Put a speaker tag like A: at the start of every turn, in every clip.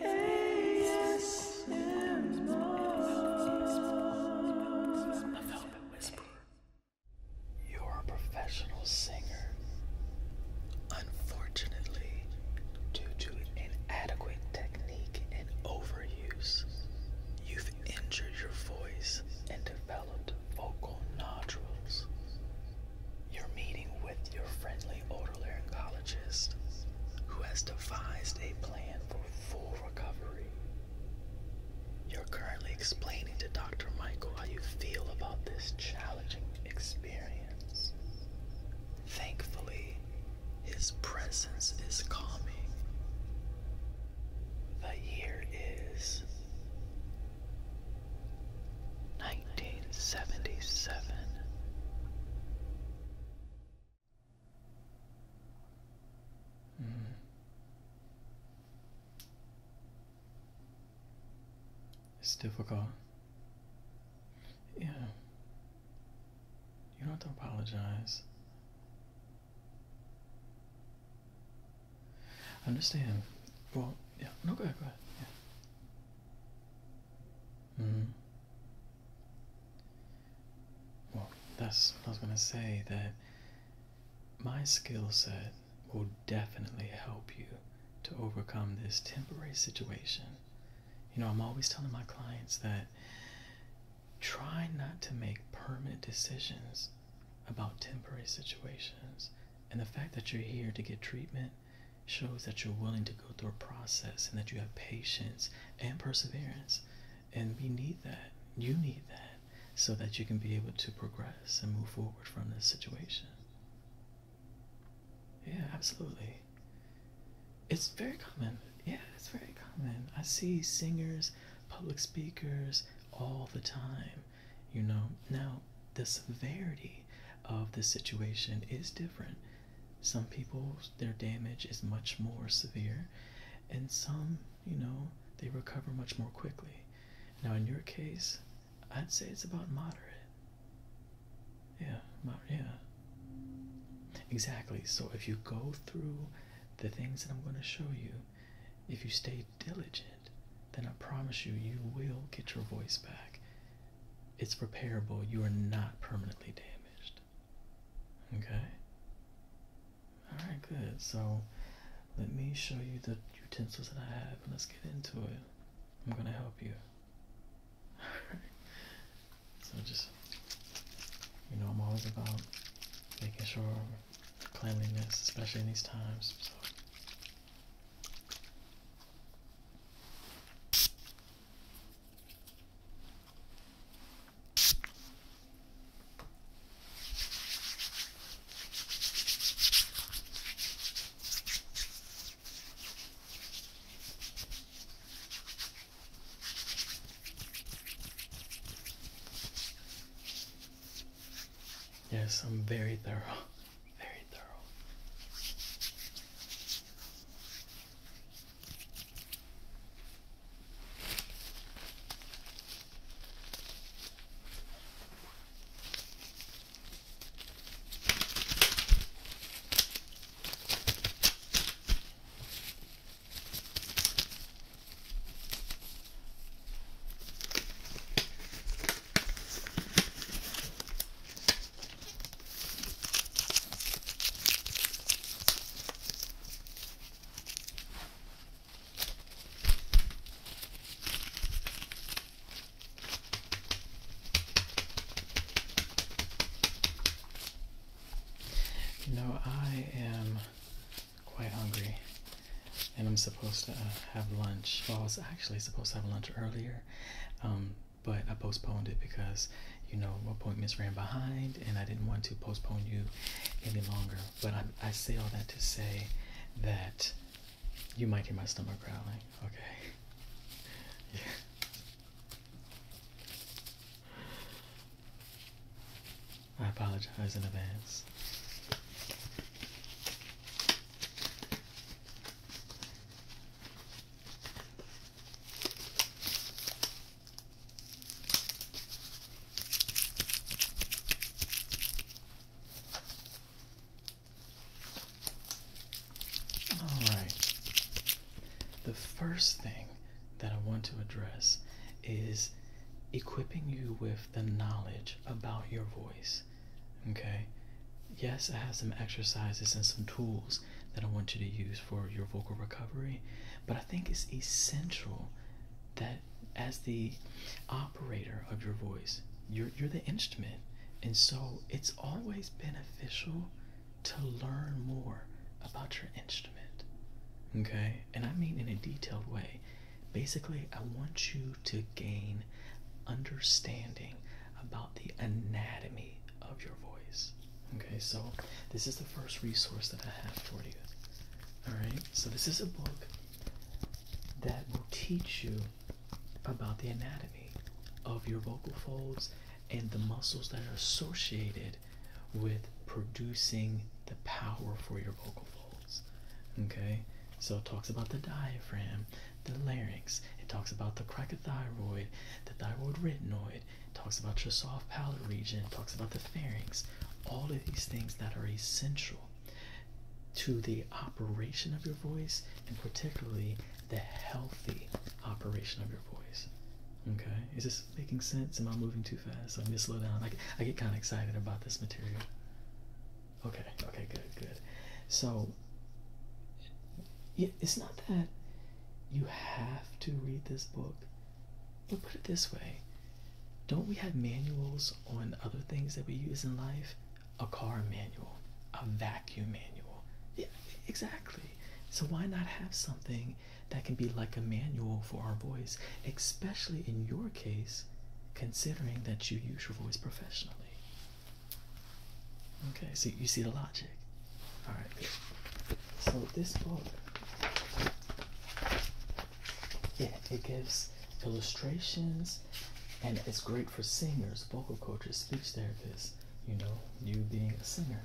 A: S M R. You're a professional singer. Unfortunately, due to inadequate technique and overuse, you've injured your voice and developed vocal nodules. You're meeting with your friendly otolaryngologist who has devised a plan for full recovery. You're currently explaining to Dr. Michael how you feel about this challenging experience. Thankfully, his presence is calming. The year is 1977. It's difficult. Yeah. You don't have to apologize. Understand. Well, yeah. No, go ahead, go ahead. Yeah. Mm. Well, that's what I was going to say, that my skill set will definitely help you to overcome this temporary situation. You know, I'm always telling my clients that try not to make permanent decisions about temporary situations. And the fact that you're here to get treatment shows that you're willing to go through a process and that you have patience and perseverance. And we need that. You need that so that you can be able to progress and move forward from this situation. Yeah, absolutely. It's very common. Yeah, it's very common. I see singers, public speakers all the time, you know. Now, the severity of the situation is different some people, their damage is much more severe, and some, you know, they recover much more quickly. Now, in your case, I'd say it's about moderate. Yeah, yeah. Exactly. So, if you go through the things that I'm going to show you, if you stay diligent, then I promise you, you will get your voice back. It's repairable. You are not permanently damaged. Okay? Alright, good. So, let me show you the utensils that I have and let's get into it. I'm going to help you. Alright? So, just, you know, I'm always about making sure cleanliness, especially in these times. So, Yes, I'm very thorough very thorough. You know, I am quite hungry and I'm supposed to uh, have lunch. I was actually supposed to have lunch earlier, um, but I postponed it because, you know, appointments ran behind and I didn't want to postpone you any longer. But I, I say all that to say that you might hear my stomach growling, okay? yeah. I apologize in advance. All right. The first thing that I want to address is equipping you with the knowledge about your voice. Okay. Yes, I have some exercises and some tools that I want you to use for your vocal recovery, but I think it's essential that as the operator of your voice, you're, you're the instrument. And so it's always beneficial to learn more about your instrument. Okay? And I mean in a detailed way. Basically, I want you to gain understanding about the anatomy of your voice. Okay, so this is the first resource that I have for you. Alright, so this is a book that will teach you about the anatomy of your vocal folds and the muscles that are associated with producing the power for your vocal folds. Okay, so it talks about the diaphragm, the larynx, it talks about the cricothyroid, the thyroid retinoid, it talks about your soft palate region, it talks about the pharynx, all of these things that are essential to the operation of your voice and particularly the healthy operation of your voice. Okay, is this making sense? Am I moving too fast? I need to slow down. I, I get kind of excited about this material. Okay, okay, good, good. So it's not that you have to read this book, but put it this way. Don't we have manuals on other things that we use in life? A car manual, a vacuum manual. Yeah, exactly. So why not have something that can be like a manual for our voice, especially in your case, considering that you use your voice professionally? Okay, so you see the logic. All right. So this book, yeah, it gives illustrations, and it's great for singers, vocal coaches, speech therapists. You know, you being a singer.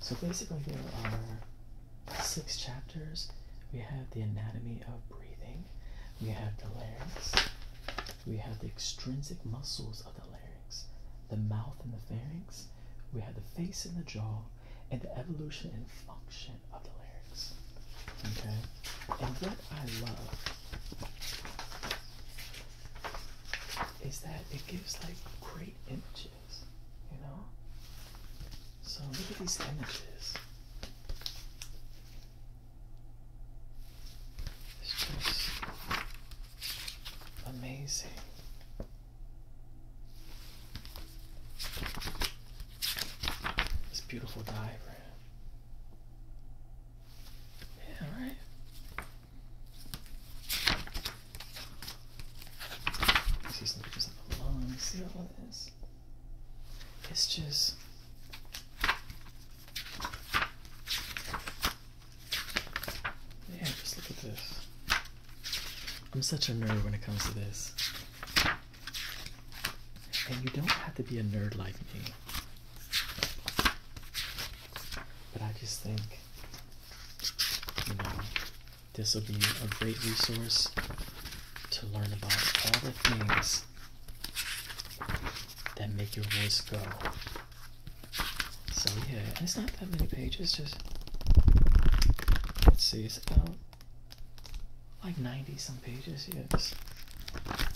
A: So basically, there are six chapters. We have the anatomy of breathing we have the larynx, we have the extrinsic muscles of the larynx, the mouth and the pharynx, we have the face and the jaw, and the evolution and function of the larynx. Okay? And what I love is that it gives like great images, you know? So look at these images. It's just amazing. This beautiful diagram. Yeah, right. See some pictures of the lungs. See all of this. It's just. Yeah, just look at this. I'm such a nerd when it comes to this. And you don't have to be a nerd like me. But I just think, you know, this will be a great resource to learn about all the things that make your voice go. So yeah, it's not that many pages, just let's see, it's about like 90 some pages, yes.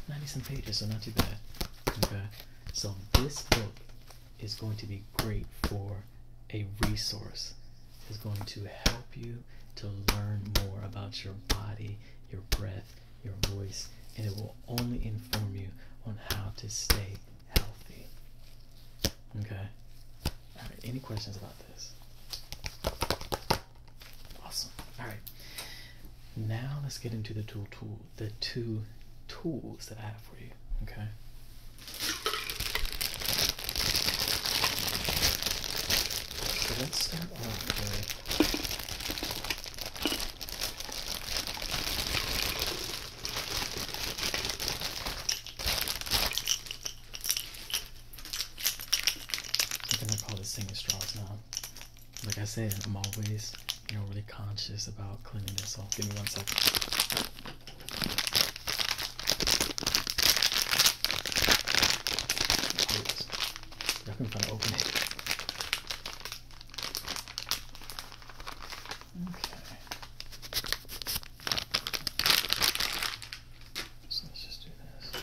A: 90 some pages, so not too bad. So this book is going to be great for a resource. It's going to help you to learn more about your body, your breath, your voice, and it will only inform you on how to stay healthy. Okay? Alright, any questions about this? Awesome. Alright. Now let's get into the tool tool the two tools that I have for you. Okay. let's I'm gonna call this thing straws now. Like I said, I'm always, you know, really conscious about cleaning this off. give me one second please. I can try to open it. Okay. So let's just do this.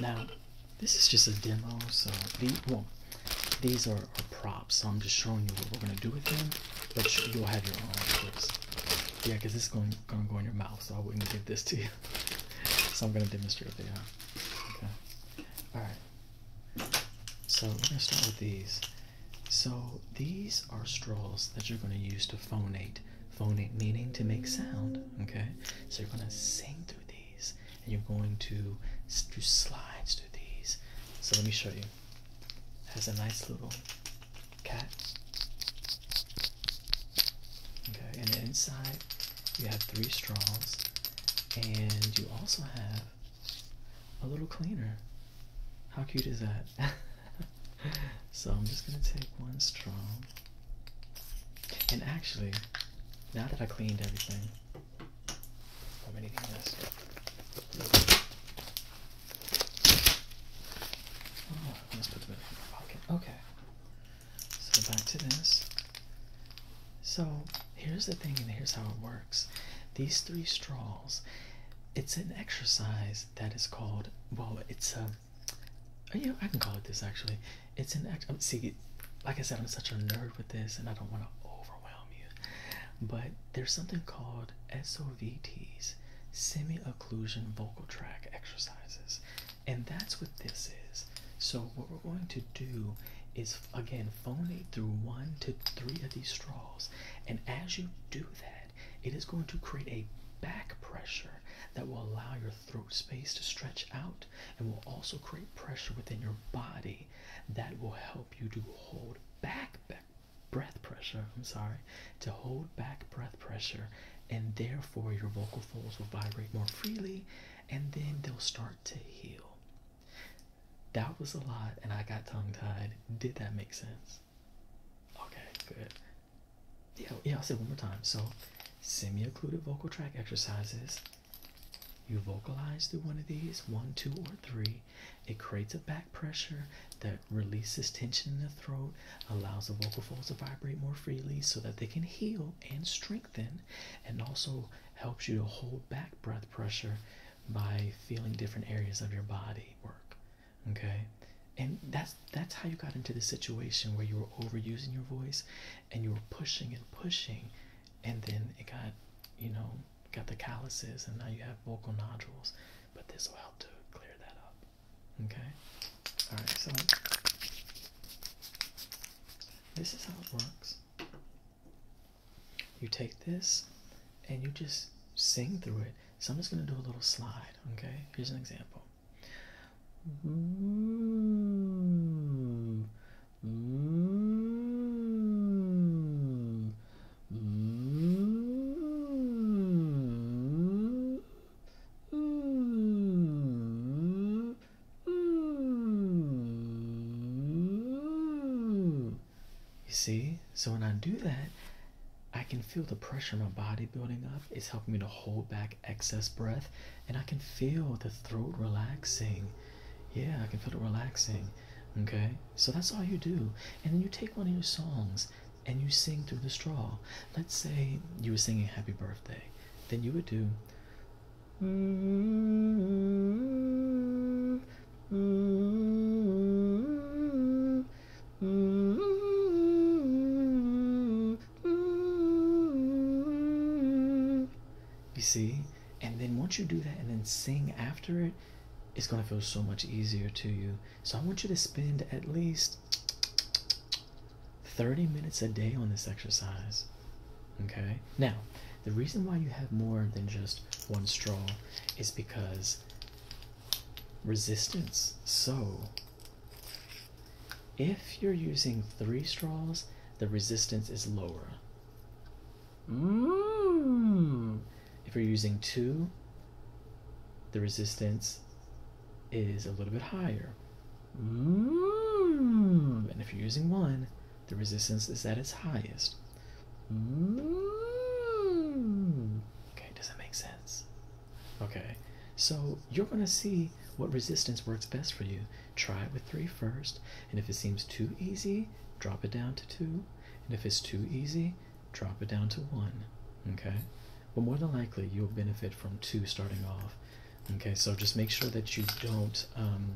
A: Now, this is just a demo, so these, are, props, so I'm just showing you what we're gonna do with them, but you'll have your own choice. Yeah, because this is going, gonna go in your mouth, so I wouldn't give this to you. so I'm gonna demonstrate it. they are. Okay. Alright. So we're gonna start with these. So these are straws that you're going to use to phonate. Phonate meaning to make sound. Okay, so you're going to sing through these, and you're going to do slides through these. So let me show you. has a nice little cat. Okay, and inside you have three straws, and you also have a little cleaner. How cute is that? so I'm just gonna take one straw. And actually, now that I cleaned everything, I'm eating this. Oh, let's put them in my pocket. Okay. So back to this. So here's the thing, and here's how it works. These three straws, it's an exercise that is called well it's a um, oh, you know I can call it this actually it's an actual um, see like I said I'm such a nerd with this and I don't want to overwhelm you but there's something called S O V Ts, semi-occlusion vocal tract exercises and that's what this is so what we're going to do is Again, phonate through one to three of these straws. And as you do that, it is going to create a back pressure that will allow your throat space to stretch out and will also create pressure within your body that will help you to hold back breath pressure. I'm sorry, to hold back breath pressure, and therefore your vocal folds will vibrate more freely and then they'll start to heal. That was a lot, and I got tongue tied. Did that make sense? Okay, good. Yeah, yeah, I'll say one more time. So, semi-occluded vocal tract exercises. You vocalize through one of these, one, two, or three. It creates a back pressure that releases tension in the throat, allows the vocal folds to vibrate more freely so that they can heal and strengthen, and also helps you to hold back breath pressure by feeling different areas of your body work okay and that's that's how you got into the situation where you were overusing your voice and you were pushing and pushing and then it got you know got the calluses and now you have vocal nodules but this will help to clear that up okay all right so this is how it works you take this and you just sing through it. So I'm just going to do a little slide, okay? Here's an example. Mm-hmm. You see? So when I do that, I can feel the pressure in my body building up. It's helping me to hold back excess breath, and I can feel the throat relaxing. Yeah, I can feel it relaxing. Okay? So that's all you do. And then you take one of your songs and you sing through the straw. Let's say you were singing Happy Birthday. Then you would do. You see? And then once you do that and then sing after it, it's going to feel so much easier to you. So I want you to spend at least 30 minutes a day on this exercise. Okay, now the reason why you have more than just one straw is because resistance. So, if you're using three straws, the resistance is lower. Mm. If you're using two, the resistance is a little bit higher. Mm. And if you're using one, the resistance is at its highest. Mm. Okay, does that make sense? Okay, so you're going to see what resistance works best for you. Try it with three first, and if it seems too easy, drop it down to two, and if it's too easy, drop it down to one. Okay, but more than likely, you'll benefit from two starting off. Okay, so just make sure that you don't um,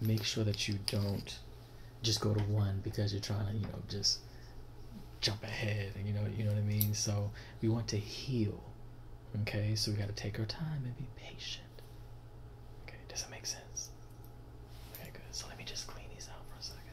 A: make sure that you don't just go to one because you're trying to you know just jump ahead and you know you know what I mean so we want to heal okay so we got to take our time and be patient okay does that make sense okay good so let me just clean these out for a second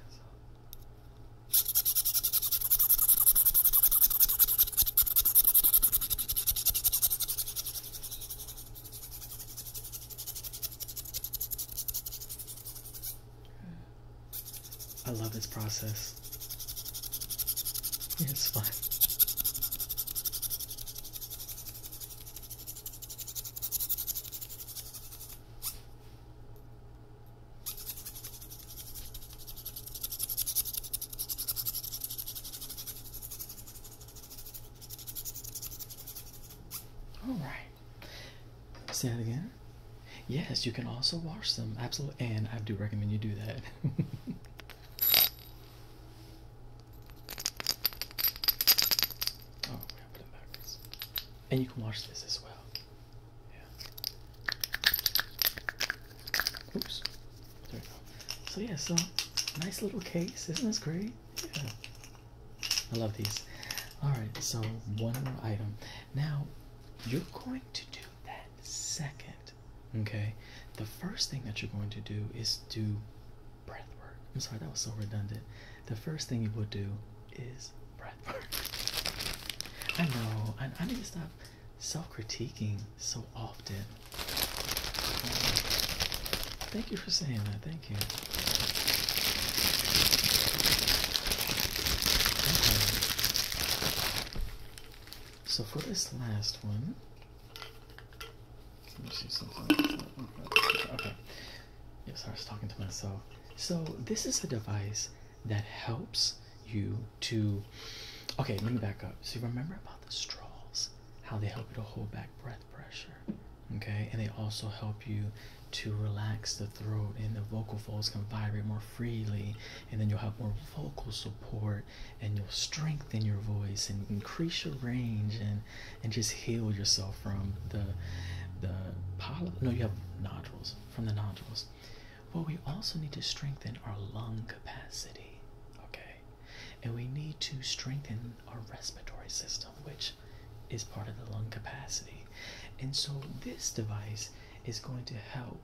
A: I love this process. It's fun. All right. Say that again. Yes, you can also wash them. Absolutely. And I do recommend you do that. oh, put them backwards. And you can wash this as well. Yeah. Oops. So yeah, so nice little case, isn't this great? I love these. Alright, so one more item. Now you're going to do that second. Okay. The first thing that you're going to do is do breath work. I'm sorry, that was so redundant. The first thing you will do is breath work. I know, I, I need to stop self critiquing so often. Thank you for saying that. Thank you. So for this last one, let me see something. Okay. Yes, I was talking to myself. So this is a device that helps you to. Okay, let me back up. So remember about the straws? how they help you to hold back breath pressure. Okay, and they also help you to relax the throat and the vocal folds can vibrate more freely, and then you'll have more vocal support and you'll strengthen your voice and increase your range and and just heal yourself from the the polyp. No, you have nodules from the nodules. Well, we also need to strengthen our lung capacity. Okay, and we need to strengthen our respiratory system, which is part of the lung capacity. And so, this device is going to help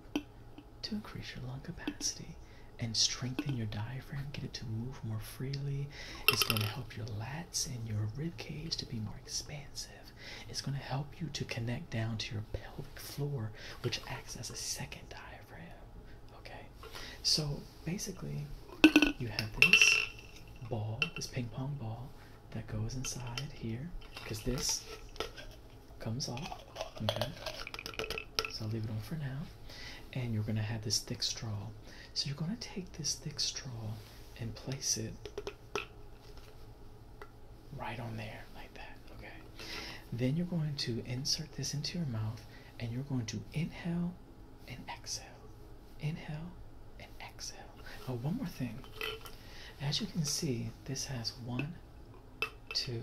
A: to increase your lung capacity and strengthen your diaphragm, get it to move more freely. It's going to help your lats and your rib cage to be more expansive. It's going to help you to connect down to your pelvic floor, which acts as a second diaphragm. Okay, so basically, you have this ball, this ping pong ball that goes inside here because this comes off. Okay, so I'll leave it on for now. And you're going to have this thick straw. So you're going to take this thick straw and place it right on there like that. Okay, then you're going to insert this into your mouth and you're going to inhale and exhale. Inhale and exhale. Oh, one more thing. As you can see, this has one, two,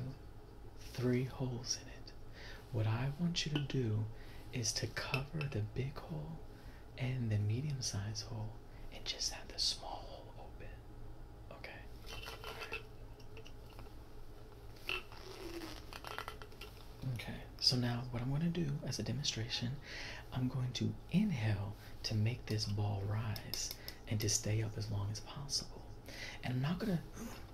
A: three holes in it. What I want you to do is to cover the big hole and the medium sized hole and just have the small hole open. Okay? Okay, so now what I'm going to do as a demonstration, I'm going to inhale to make this ball rise and to stay up as long as possible. And I'm not going to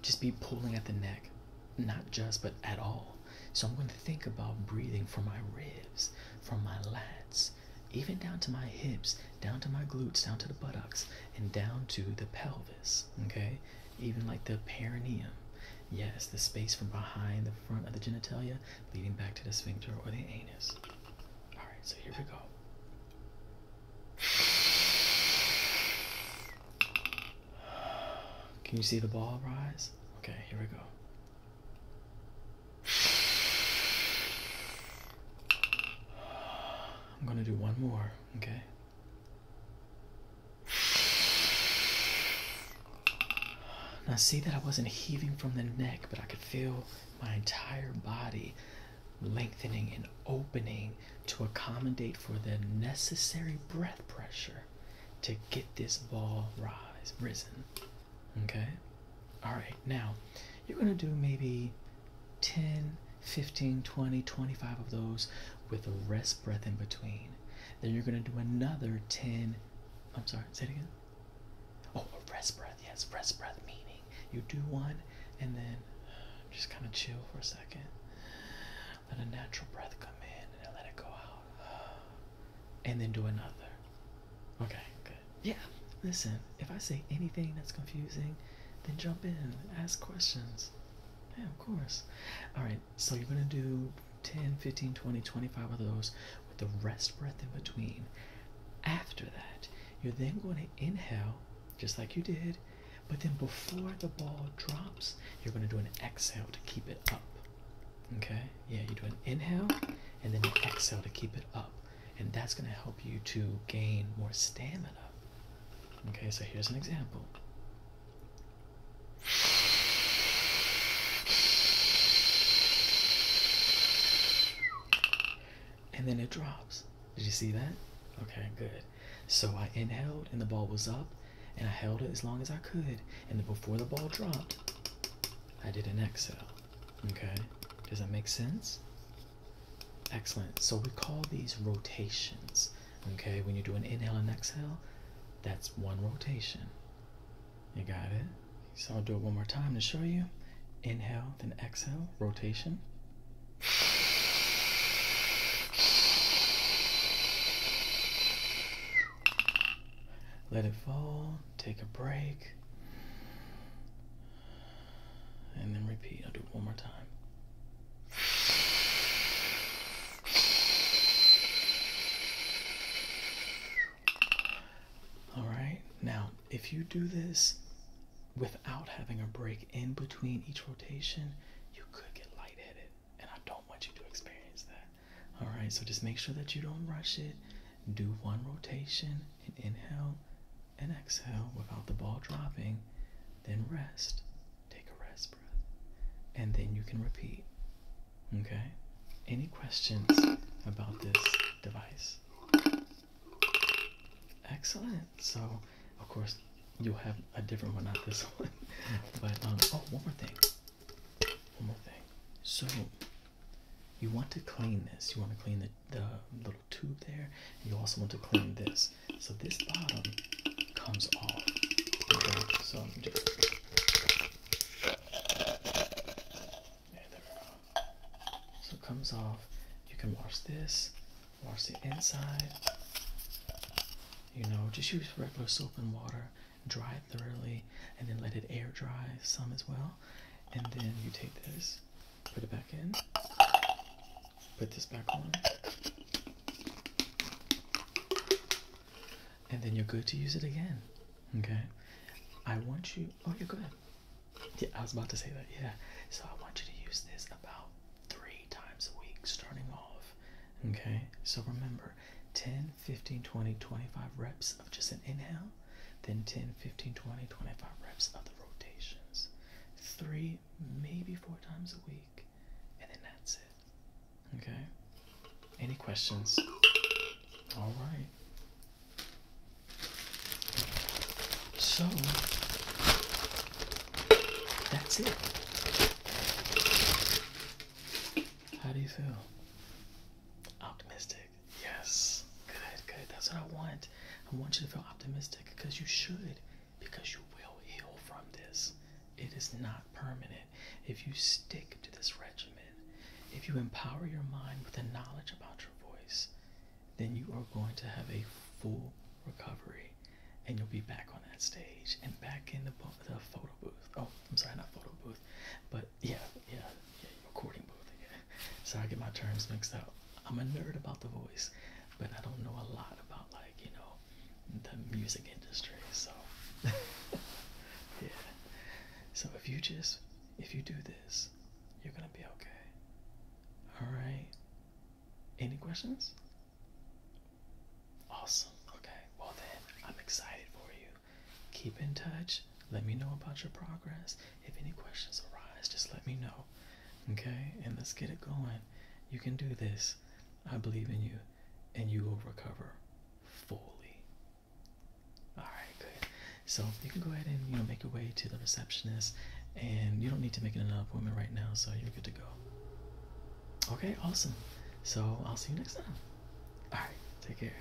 A: just be pulling at the neck, not just, but at all. So I'm going to think about breathing from my ribs, from my lats, even down to my hips, down to my glutes, down to the buttocks, and down to the pelvis. Okay, even like the perineum. Yes, the space from behind the front of the genitalia leading back to the sphincter or the anus. All right, so here we go. Can you see the ball rise? Okay, here we go. I'm gonna do one more, okay? Now, see that I wasn't heaving from the neck, but I could feel my entire body lengthening and opening to accommodate for the necessary breath pressure to get this ball rise risen. Okay? Alright, now you're gonna do maybe 10, 15, 20, 25 of those with a rest breath in between. Then you're going to do another 10. I'm sorry, say it again. Oh, a rest breath. Yes, rest breath meaning you do one and then just kind of chill for a second. Let a natural breath come in and let it go out. And then do another. Okay, good. Yeah, listen, if I say anything that's confusing, then jump in, ask questions. Yeah, of course. All right, so you're going to do 10, 15, 20, 25 of those with the rest breath in between. After that, you're then going to inhale just like you did, but then before the ball drops, you're going to do an exhale to keep it up. Okay? Yeah, you do an inhale and then an exhale to keep it up. And that's going to help you to gain more stamina. Okay, so here's an example. And then it drops. Did you see that? Okay, good. So I inhaled and the ball was up and I held it as long as I could. And then before the ball dropped, I did an exhale. Okay, does that make sense? Excellent. So we call these rotations. Okay, when you do an inhale and exhale, that's one rotation. You got it? So I'll do it one more time to show you. Inhale, then exhale, rotation. Let it fall, take a break and then repeat. I'll do it one more time. All right, now if you do this without having a break in between each rotation, you could get lightheaded, and I don't want you to experience that. All right, so just make sure that you don't rush it. Do one rotation and inhale and exhale without the ball dropping. Then rest. Take a rest breath. And then you can repeat. Okay? Any questions about this device? Excellent. So, of course, you'll have a different one, not this one. but, um, oh, one more thing. One more thing. So, you want to clean this. You want to clean the, the, the tube there. You also want to clean this. So this bottom comes off. So it comes off. You can wash this, wash the inside. You know, just use regular soap and water, dry it thoroughly, and then let it air dry some as well. And then you take this, put it back in, put this back on. And then you're good to use it again. Okay? I want you. Oh, you're good. Yeah, I was about to say that. Yeah. So I want you to use this about three times a week, starting off. Okay? So remember 10, 15, 20, 25 reps of just an inhale, then 10, 15, 20, 25 reps of the rotations three, maybe four times a week, and then that's it. Okay? Any questions? All right. So, that's it. How do you feel? Optimistic. Yes. Good, good. That's what I want. I want you to feel optimistic because you should, because you will heal from this. It is not permanent. If you stick to this regimen, if you empower your mind with the knowledge about your voice, then you are going to have a full recovery and you'll be back on that stage and back in the, the photo booth. Oh, I'm sorry, not photo booth, but yeah, yeah, yeah, recording booth. Yeah. So I get my terms mixed up. I'm a nerd about the voice, but I don't know a lot about like you know the music industry. So yeah. So if you just if you do this, you're gonna be okay. All right. Any questions? Awesome. Okay. Well then, I'm excited for you. Keep in touch. Let me know about your progress. If any questions arise, just let me know. Okay? And let's get it going. You can do this. I believe in you, and you will recover fully. All right, good. So you can go ahead and you know make your way to the receptionist, and you don't need to make an appointment right now, so you're good to go. Okay, awesome. So I'll see you next time. All right, take care.